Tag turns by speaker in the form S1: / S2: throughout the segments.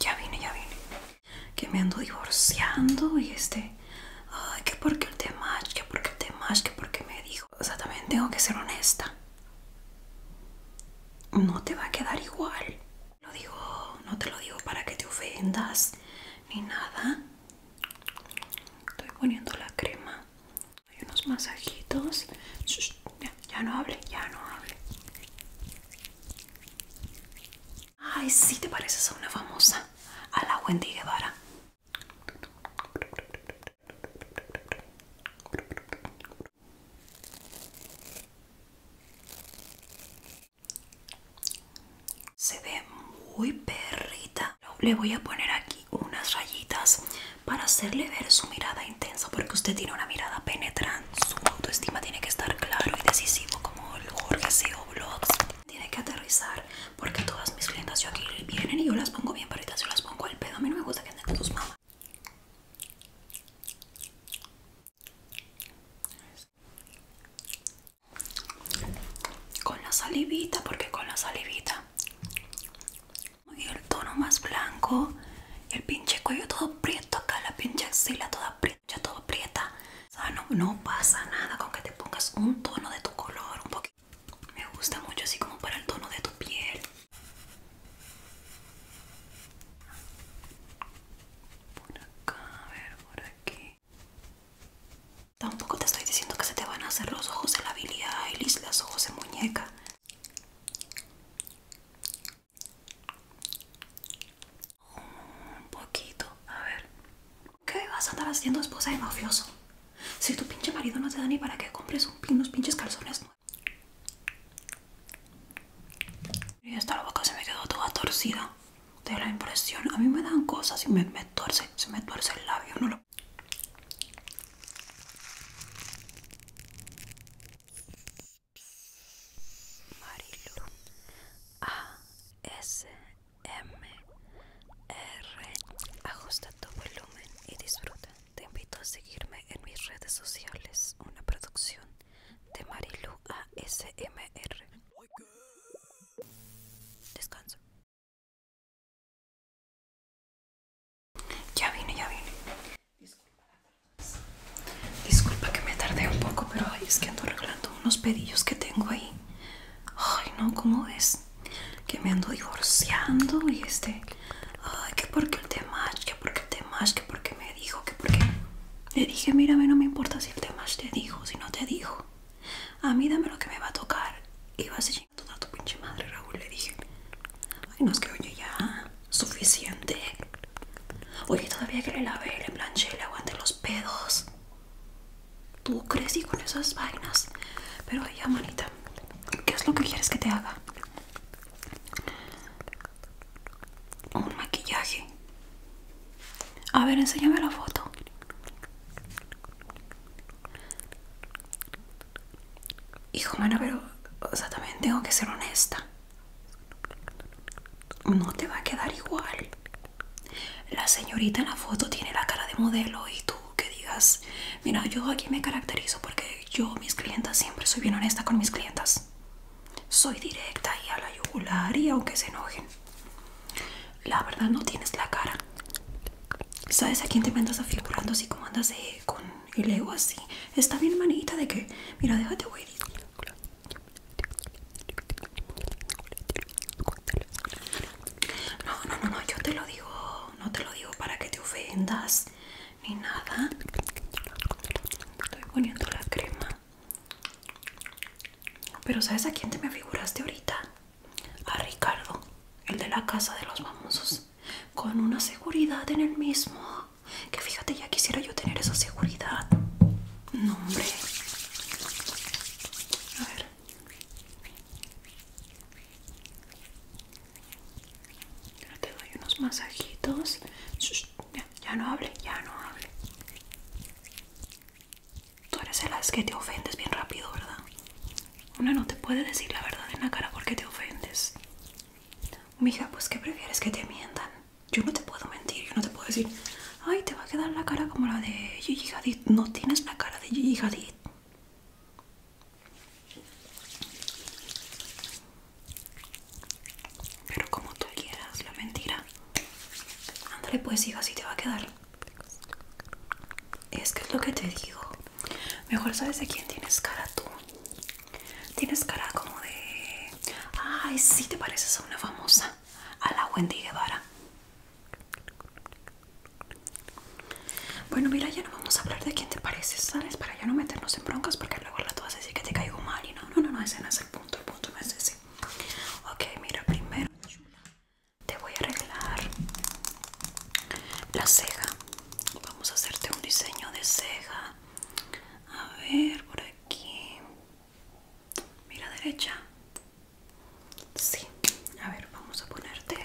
S1: Ya vine, ya vine. Que me ando divorciando y este. Ay, que porque el tema, que porque el tema, que porque me dijo. O sea, también tengo que ser honesta. No te va a quedar igual. Lo digo, no te lo digo para que te ofendas ni nada. Estoy poniendo la crema. Hay unos masajitos. Ya no hable, ya no hable. Ay, si te pareces a una famosa, a la Wendy Guevara. Se ve muy perrita. Le voy a poner aquí unas rayitas para hacerle ver su mirada intensa porque usted tiene una mirada penetrante. Su autoestima tiene que estar claro y decisivo como el Jorge SEO Blogs. Tiene que aterrizar porque todas mis clientas yo aquí vienen y yo las pongo bien, pero yo las pongo al pedo. A mí no me gusta que anden con sus Con la salivita, porque con la salivita el tono más blanco. Y el pinche cuello todo prieto acá, la pinche axila toda prieta, todo prieta. O sea, no, no pasa nada con que te pongas un tono de tu color, un Me gusta mucho así como para el tono de tu piel. Por acá, a ver, por aquí. Tampoco te estoy diciendo que se te van a hacer los ojos de la habilidad Y los ojos de muñeca. Un poquito, a ver. ¿Qué vas a estar haciendo esposa de mafioso? Si tu pinche marido no te da ni para que compres un unos pinches calzones nuevos. Y esta la boca se me quedó toda torcida de la impresión. A mí me dan cosas y me, torce, se me torce el labio, no lo... Marilu A S M R Ajusta tu volumen y disfruta. Te invito a seguirme en mis redes sociales. Una producción de Marilu A S M R. Descanso. Ya vine, ya vine. Disculpa, Disculpa que me tardé un poco, pero es que ando arreglando unos pedillos que tengo ahí. Ay, no, ¿cómo es? Que me ando divorciando y este... Ay, que porque el tema, que porque el tema, que porque me dijo, que porque... Le dije, mírame, no me importa si el tema te dijo, si no te dijo. A mí dame lo que me va a tocar. Y vas a toda tu pinche madre, Raúl, le dije. Ay, no, es que oye ya suficiente. Oye, todavía que le lavé, le planché, le aguante los pedos. Tú crecí con esas vainas. Pero ya, manita, ¿qué es lo que quieres que te haga? Un maquillaje. A ver, enséñame la foto hijo, bueno, pero, también tengo que ser honesta. No te va a quedar igual. La señorita en la foto tiene la cara de modelo y tú que digas, mira, yo aquí me caracterizo porque yo, mis clientas, siempre soy bien honesta con mis clientas. Soy directa y a la yugular y aunque se enojen. La verdad no tienes la cara. ¿Sabes a quién te me andas figurando así como andas de, con y le digo así, está bien manita de que, mira, déjate güey. No, no, no, no, yo te lo digo, no te lo digo para que te ofendas ni nada. Estoy poniendo la crema. Pero ¿sabes a quién te me figuraste ahorita? A Ricardo, el de la casa de los famosos con una seguridad en el mismo. Que fíjate, ya quisiera yo tener esa seguridad. No, hombre. A ver. te doy unos masajitos. ya, no hable, ya no hable. Tú eres el as que te ofendes bien rápido, ¿verdad? Una no te puede decir la verdad en la cara porque te ofendes. Mija, pues ¿qué prefieres que te mientan? Yo no te puedo mentir, yo no te puedo decir, ay, te va a quedar la cara como la de Gigi No tienes la cara de Gigi Pero como tú quieras, la mentira. Ándale, pues, hija, así te va a quedar. Es que es lo que te digo. Mejor sabes de quién tienes cara tú. Tienes cara como de... Ay, si te pareces a una famosa. A la Wendy Guevara. Bueno, mira, ya no vamos a hablar de quién te pareces, ¿sabes? Para ya no meternos en broncas porque luego la tú vas a decir que te caigo mal y no, no, no, no, ese no es el punto, el punto no es ese. Ok, mira, primero te voy a arreglar la ceja vamos a hacerte un diseño de ceja a ver por aquí mira derecha sí a ver vamos a ponerte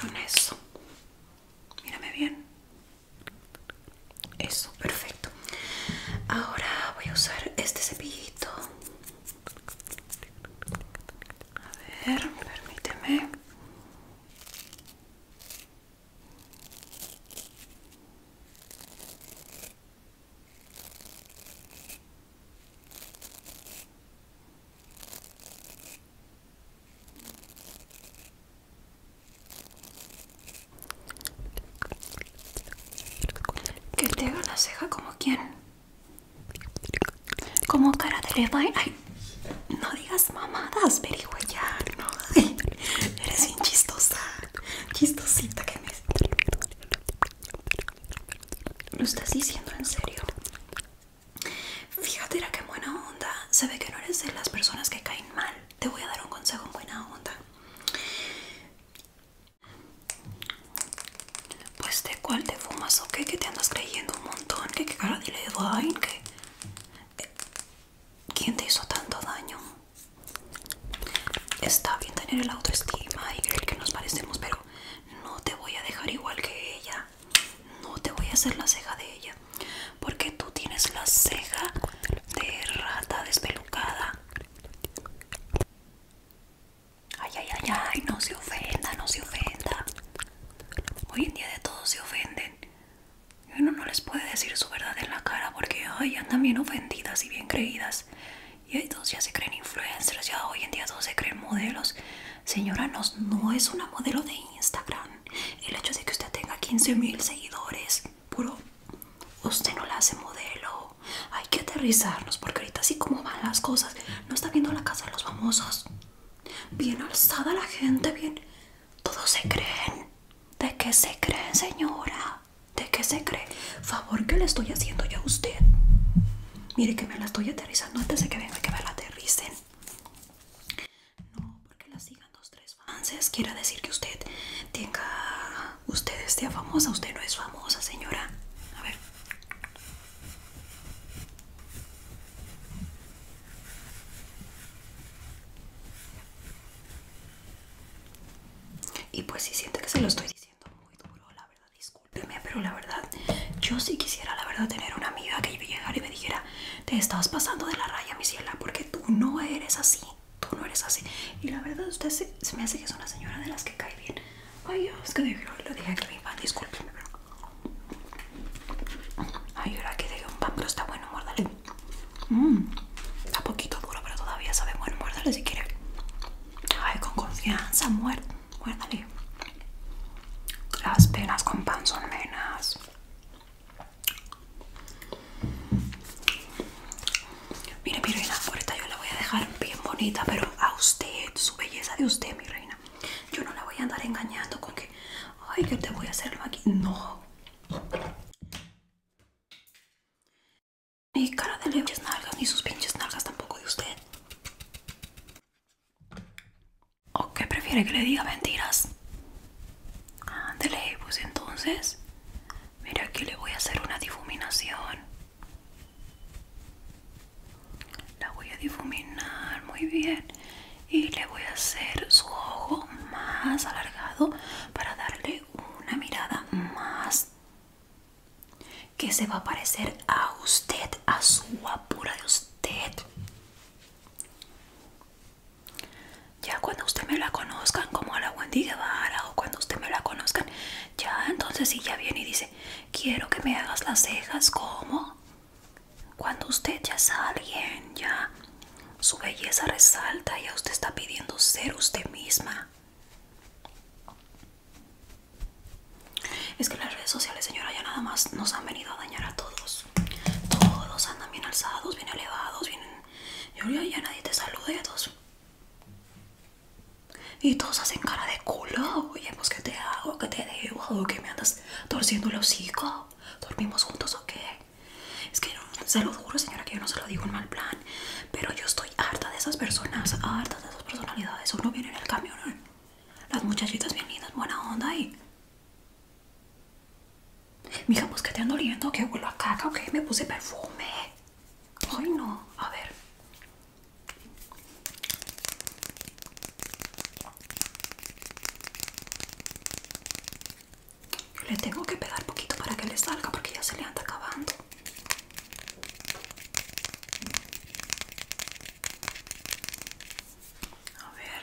S1: con eso mírame bien eso, perfecto. Ahora voy a usar este cepillito. A ver, permíteme. Que te haga la ceja como quién? Como cara de Levine. Ay, no digas mamadas, ya eres bien chistosa. Chistosita que me. ¿Lo estás diciendo en serio? Fíjate, era que buena onda. Se ve que no eres de las personas que caen mal te voy a dar un consejo en buena onda. Pues de cuál te fumas o qué, que te andas creyendo un montón, que qué cara dile, Ledwine, que... Eh, ¿Quién te hizo tanto daño? Está bien tener el autoestima y creer que nos parecemos, pero no te voy a dejar igual que ella. No te voy a hacer la ceja de ella porque tú tienes la ceja de rata despelucada ay ay ay ay no se ofenda no se ofenda hoy en día de todos se ofenden y uno no les puede decir su verdad en la cara porque ay andan bien ofendidas y bien creídas y todos ya se creen influencers ya hoy en día todos se creen modelos señora no es una modelo de Instagram el hecho de que usted tenga mil seguidores, puro, usted no la hace modelo. Hay que aterrizarnos porque ahorita así como van las cosas, no está viendo la casa de los famosos. Bien alzada la gente, bien... Todos se creen. ¿De qué se creen, señora? ¿De qué se cree? Favor que le estoy haciendo yo a usted. Mire que me la estoy aterrizando antes de que venga que me la aterricen. No, porque la sigan dos, tres avances Quiere decir que usted tenga. Usted esté famosa. Usted no es famosa, señora. A ver. Y pues si siente que se lo estoy diciendo muy duro, la verdad, discúlpeme, pero la verdad, yo sí quisiera, la verdad, tener una amiga que llegara y me dijera, te estás pasando de la raya, mi porque tú no eres así, tú no eres así. Y la verdad, usted se, me hace que es una señora de las que cae bien. Ay, es que lo dije que me pan, discúlpeme, pero... Ay, ahora que dejé un pan, pero está bueno, muérdale. Mmm, está poquito duro, pero todavía sabe bueno, muérdale si quiere. Ay, con confianza, muérdale. Las penas con pan son menas. Mire mi reina, ahorita yo la voy a dejar bien bonita, pero a usted, su belleza de usted, mi reina. Yo no la voy a andar engañando con que, ay, que te voy a hacerlo aquí, No. Ni cara de leches nalgas, ni sus pinches nalgas tampoco de usted. ¿O qué prefiere que le diga mentiras? Ándele, pues entonces. Mira, aquí le voy a hacer una difuminación. La voy a difuminar muy bien. Y le voy a hacer su ojo más alargado para darle una mirada más que se va a parecer a usted, a su apura de usted. Ya cuando usted me la conozcan, como a la Wendy Guevara, o cuando usted me la conozcan, ya entonces si ya viene y dice, quiero que me hagas las cejas, como Cuando usted ya es alguien, ya su belleza resalta, ya usted está pidiendo ser usted misma. Es que las redes sociales, señora, ya nada más nos han venido a dañar a todos. Todos andan bien alzados, bien elevados, bien... Yo ya nadie te salude a todos... Y todos hacen cara de culo. Oye, pues ¿qué te hago? que te debo? que me andas torciendo el hocico? ¿Dormimos juntos o qué? Es que se lo juro, señora, que yo no se lo digo en mal plan. Pero yo estoy harta de esas personas, harta de esas personalidades. Uno viene en el camión, las muchachitas bien lindas, buena onda y Mija, pues que te ando oliendo que vuelo a caca Ok me puse perfume. Ay, no. A ver. Le tengo que pegar poquito para que le salga porque ya se le anda acabando. A ver.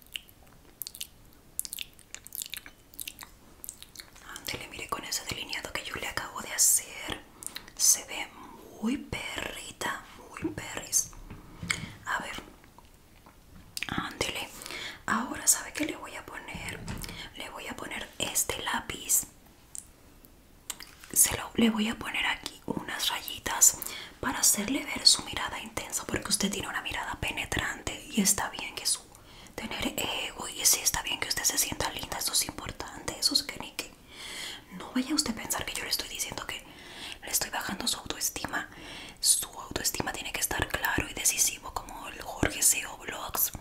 S1: ándele mire con ese delineado que yo le acabo de hacer. Se ve muy perrita, muy perris. A ver. Ándele. Ahora, ¿sabe que le voy a poner? Le voy a poner este lápiz. Se le voy a poner aquí unas rayitas para hacerle ver su mirada intensa, porque usted tiene una mirada penetrante y está bien que su tener ego y sí está bien que usted se sienta linda, eso es importante, eso es que ni que no vaya usted a pensar que yo le estoy diciendo que le estoy bajando su autoestima. Su autoestima tiene que estar claro y decisivo como el Jorge Seo Vlogs.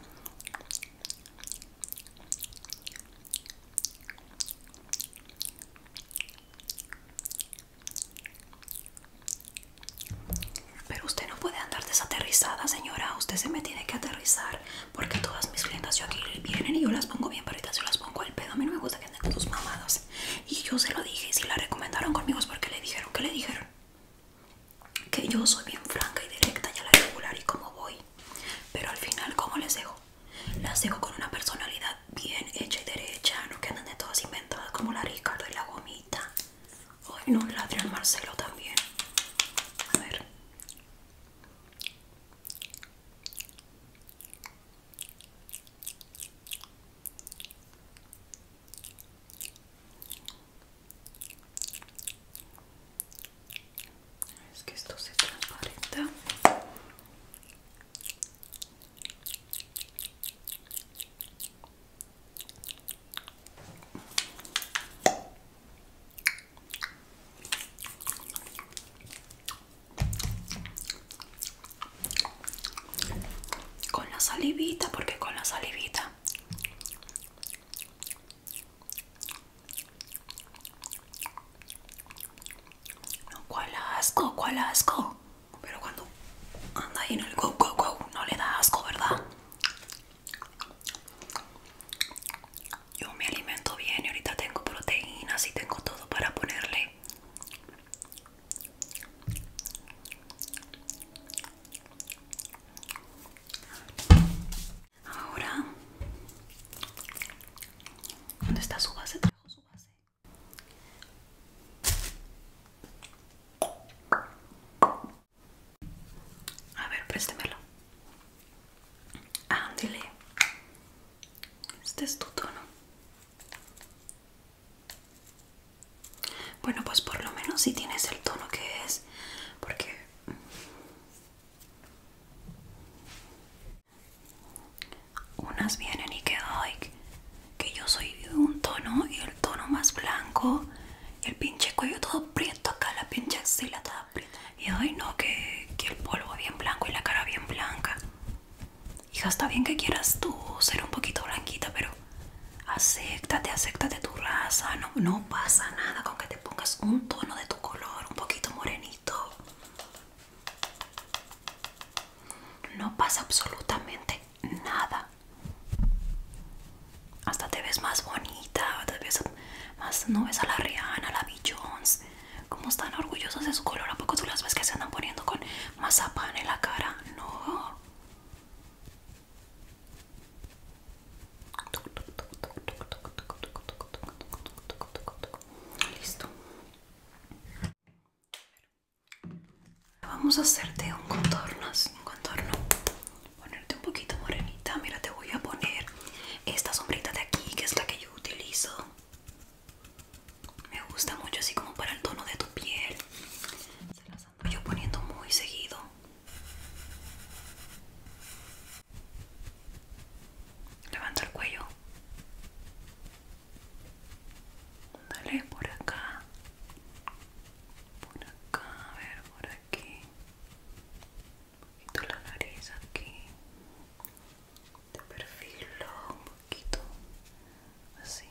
S1: Pero usted no puede andar desaterrizada, señora. Usted se me tiene que aterrizar. Porque todas mis clientas yo aquí vienen y yo las pongo bien paritas, yo las pongo al pedo. A mí no me gusta que anden tus mamadas. Y yo se lo dije. Y si la recomendaron conmigo es porque le dijeron, que le dijeron? Que yo soy bien franca y directa y a la regular y como voy. Pero al final, ¿cómo les dejo? Las dejo con una personalidad bien hecha y derecha, no quedan de todas inventadas como la Ricardo y la gomita. Hoy no, la ladrón Marcelo también. A ver. Es que esto se transparenta. Con la salivita, porque con la salivita. No, cuál asco, cuál asco. Pero cuando anda ahí en el go, go, no le da asco, ¿verdad? Yo me alimento bien y ahorita tengo proteínas y tengo todo para ponerle. Ahora, ¿dónde está su base? su base. A ver, préstemelo. Ándele. Ah, este es tu tono. Bueno, pues por lo menos si tienes el tono que es, porque unas vienen y que hoy que yo soy de un tono y el tono más blanco y el pinche cuello todo prieto acá, la pinche axila toda prieta. Y hoy no, que, el polvo bien blanco y la cara bien blanca. Hija, está bien que quieras tú ser un poquito blanquita, pero acéptate, acéptate tu raza. No, no pasa nada con que te pongas un tono de tu color, un poquito morenito. No pasa absolutamente nada. Hasta te ves más bonita, más, no ves a la Rihanna, a la B. Como están orgullosas de su color, ¿a poco tú las ves que se andan poniendo con mazapán en la cara? No. Listo. Vamos a hacerte un contorno, un contorno. Ponerte un poquito morenita. Mira, te voy a poner esta sombrita de aquí, que es la que yo utilizo. Me gusta mucho así como para el tono de tu piel. Se las ando yo poniendo muy seguido. Levanta el cuello. Dale por acá. Por acá, a ver, por aquí. Un poquito la nariz aquí. Te perfilo un poquito. Así.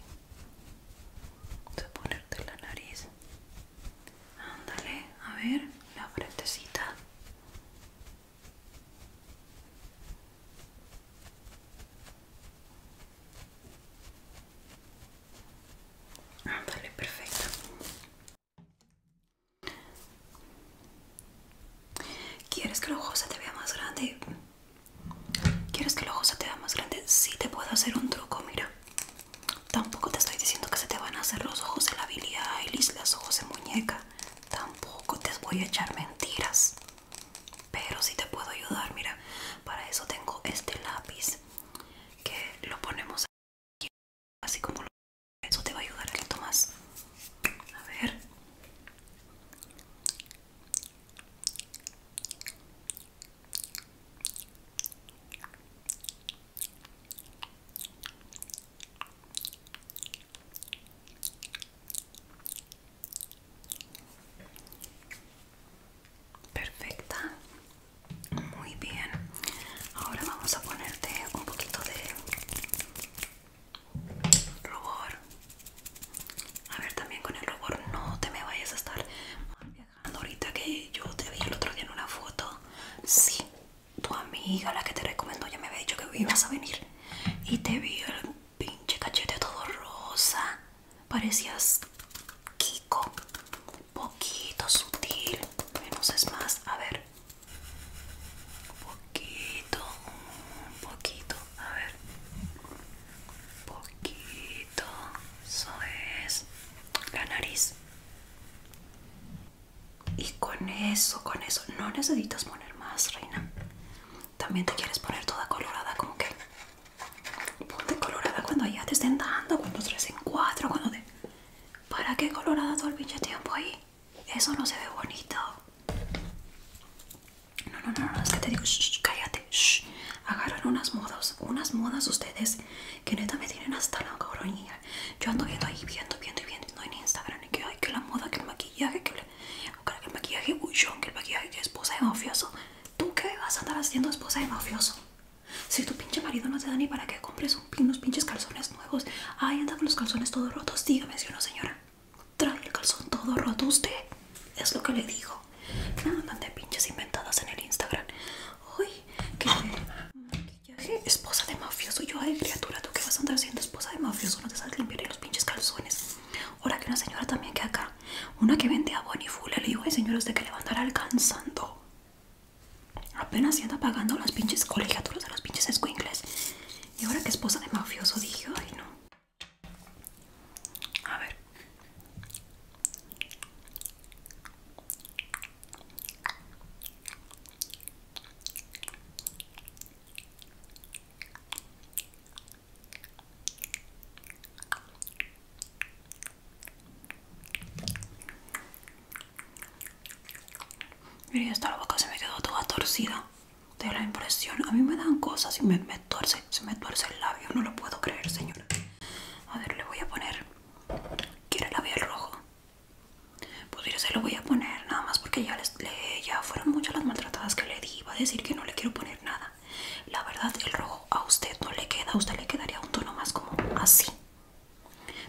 S1: Voy a ponerte la nariz. Ándale, a ver, la frentecita. Ah, vale, perfecto. ¿Quieres que los ojos se te vea más grandes? ¿Quieres que los ojos se te vea más grandes? Sí, te puedo hacer un truco, mira. Tampoco te estoy diciendo que se te van a hacer los ojos de la habilidad Billie Eilish, los ojos de muñeca. Tampoco te voy a echar mentiras pero si te puedo ayudar mira para eso tengo este lápiz que lo ponemos aquí así como eso te va a ayudar a esto más a ver Perfecta. Muy bien. Ahora vamos a ponerte un poquito de rubor. A ver, también con el rubor no te me vayas a estar viajando ahorita que yo te vi el otro día en una foto. si tu amiga, la que te recomendó, ya me había dicho que ibas a venir. Y te vi pinche cachete todo rosa. Parecías Kiko. Poquito sutil. Menos es más. A ver. Poquito. un Poquito. A ver. Poquito. Eso es. La nariz. Y con eso, con eso. No necesitas poner más, reina. También te quieres poner toda colorada, como que ponte colorada cuando ya te estén dando, cuando tres en cuatro, cuando te... ¿Para qué colorada todo el pinche tiempo ahí? Eso no se ve bonito. No, no, no, no, es que te digo, cállate, shh. Agarran unas modas, unas modas ustedes que neta me tienen hasta la coronilla. Yo ando viendo ahí, viendo, viendo y viendo, en Instagram, que hay que la moda, que el maquillaje, que el maquillaje bullón, que el maquillaje esposa de mafioso. ¿Tú qué vas a andar haciendo esposa de mafioso? Si tu pinche marido no te da ni para que compres unos pinches calzones nuevos. Ay, anda con los calzones todos rotos. Dígame si una señora. Trae el calzón todo roto usted. Es lo que le digo. Que de pinches inventadas en el Instagram. Uy, que maquillaje esposa de mafioso. Yo, ay, criatura, ¿tú qué vas a andar haciendo esposa de mafioso? No te sabes limpiar los pinches calzones. Ahora que una señora también que acá, una que vende a le digo, ay señores, ¿de que le va a alcanzando? Apenas se anda pagando las pinches colegiaturas de los pinches escuincles. Y ahora que esposa de mafioso, dije, ay no. A ver miren esta la boca se me quedó toda torcida de la impresión. A mí me dan cosas y me, torce, se me torce el labio. No lo puedo creer, señora. A ver, le voy a poner. ¿Quiere labial rojo? Pues yo se lo voy a poner nada más porque ya, les, ya fueron muchas las maltratadas que le di iba a decir que no le quiero poner nada. La verdad, el rojo a usted no le queda, a usted le quedaría un tono más como así.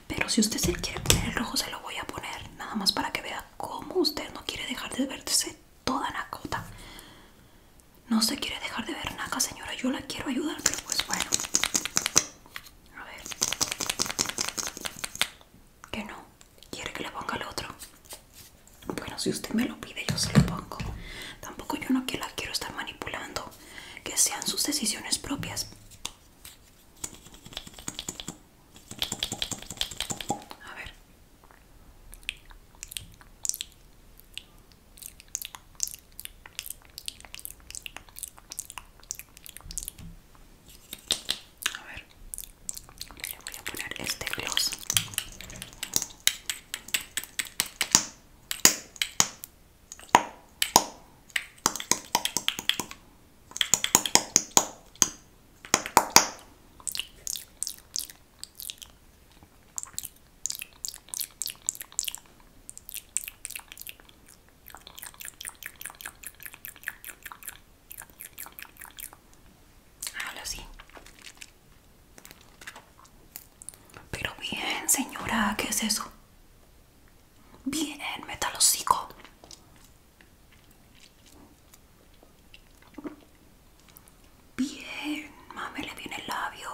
S1: Pero si usted se quiere poner el rojo, se lo voy a poner, nada más para que vea cómo usted no quiere dejar de verse toda nacota. No se quiere dejar de ver nada señora, yo la quiero ayudar, pero pues bueno. A ver. Que no. ¿Quiere que le ponga el otro? Bueno, si usted me lo pide, yo se lo pongo. Tampoco yo no quiero estar manipulando. Que sean sus decisiones propias. A ver. A ver, voy a poner este gloss. Ahora sí. Pero bien, señora, ¿qué es eso? Bien, hocico Bien, mame, le viene el labio.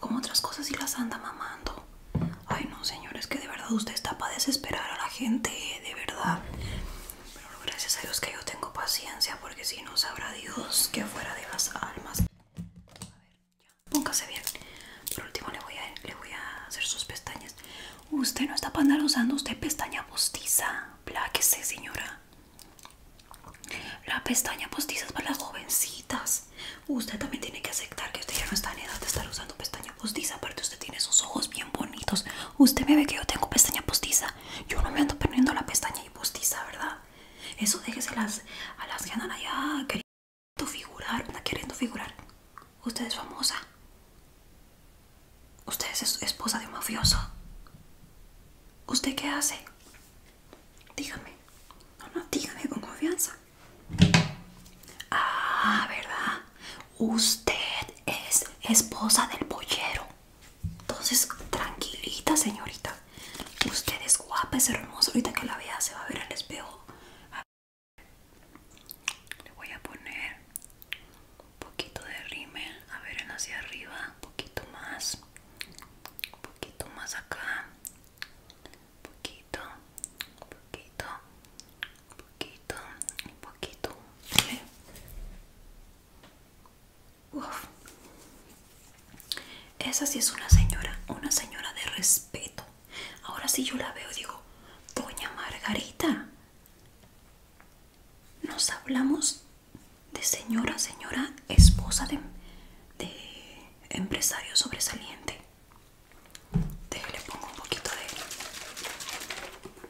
S1: Como otras cosas y las anda mamando. Ay, no, señores, que de verdad usted está para desesperar a la gente, de verdad. Pero gracias a Dios que yo tengo paciencia, porque si no sabrá Dios que fuera de las almas. A ver, ya. Póngase bien. Por último le voy a, hacer sus pestañas. Usted no está para andar usando usted pestaña postiza. Pláquese, señora. La pestaña postiza es para las jovencitas. Usted también tiene que aceptar que usted ya no está en edad de estar usando pestaña postiza. Aparte usted tiene sus ojos bien bonitos. Usted me ve que yo tengo pestaña postiza. Yo no me ando perdiendo la pestaña y postiza, ¿verdad? Eso déjeselas a las que andan allá queriendo figurar, queriendo figurar. Usted es famosa. Usted es esposa de un mafioso. ¿Usted qué hace? Dígame. No, no, dígame con confianza. Ah, ¿verdad? usted es esposa del pollero. Entonces, tranquilita, señorita. Usted es guapa, es hermoso. Ahorita que la vea se va a ver en el espejo. Le voy a poner un poquito de rímel. A ver, en hacia arriba. Un poquito más. Un poquito más acá. poquito. Un poquito un poquito, un poquito, Esa sí es una señora, una señora de respeto. Ahora sí yo la veo, digo, doña Margarita. Nos hablamos de señora, señora, esposa de, de empresario sobresaliente. Déjale, pongo un poquito de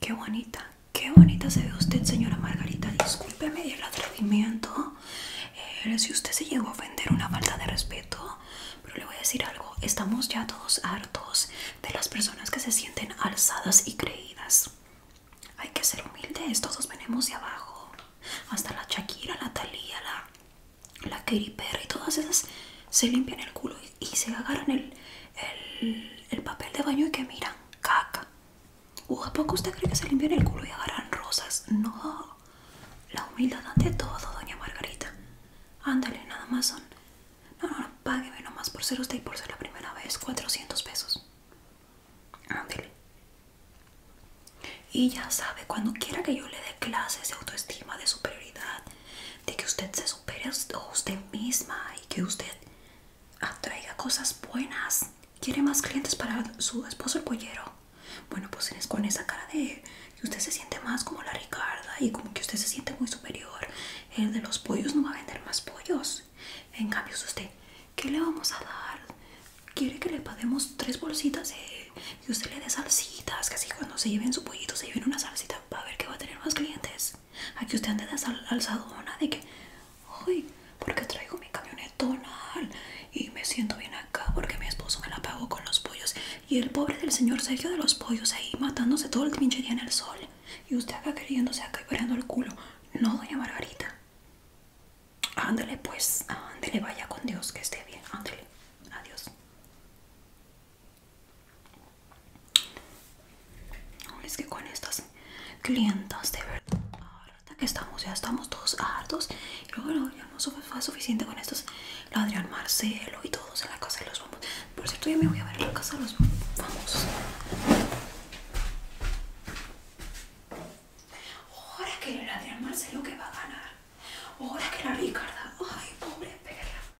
S1: Qué bonita, qué bonita se ve usted, señora Margarita. Discúlpeme el atrevimiento. Eh, si usted se llegó a ofender, una falta de respeto. Pero le voy a decir algo: estamos ya todos hartos de las personas que se sienten alzadas y creídas. Hay que ser humildes, todos venimos de abajo. Hasta la Shakira, la Thalía, la, la Perry, todas esas se limpian el culo y se agarran el, el, papel de baño y que miran caca. ¿O a poco usted cree que se limpian el culo y agarran rosas? No, la humildad ante todo, doña Margarita. Ándale, nada más son. No, no, no, nomás por ser usted y por ser la primera vez, 400 pesos. Ándale. Y ya sabe, cuando quiera que yo le dé clases de autoestima, de superioridad, de que usted se supere a usted misma y que usted atraiga cosas buenas. ¿Quiere más clientes para su esposo el pollero? Bueno, pues es con esa cara de que usted se siente más como la Ricarda y como que usted se siente muy superior. El de los pollos no va a vender más pollos. En cambio, usted, ¿qué le vamos a dar? ¿Quiere que le paguemos tres bolsitas y usted le dé salsitas? Que así cuando se lleven su pollito, se lleven una salsita, para ver que va a tener más clientes. Aquí usted anda al, alzadona de que, ¿por porque traigo mi camionetona? y me siento bien acá porque mi esposo me la pagó con los pollos y el pobre del señor Sergio de los pollos ahí matándose todo el pinche día en el sol y usted acá queriéndose acá y parando el culo. No, doña Margarita. ándele pues, ándele vaya con Dios, que esté bien, ándale. Adiós. Es que con estas clientas de verdad, que estamos, ya estamos todos hartos. Y luego ya no fue suficiente con estos, la Adrián Marcelo y todos en la casa de los vamos, Por cierto, yo me voy a ver en la casa de los vamos Ahora que el Adrián Marcelo que va a ganar. Ahora que la Ricarda. Ay, pobre perra.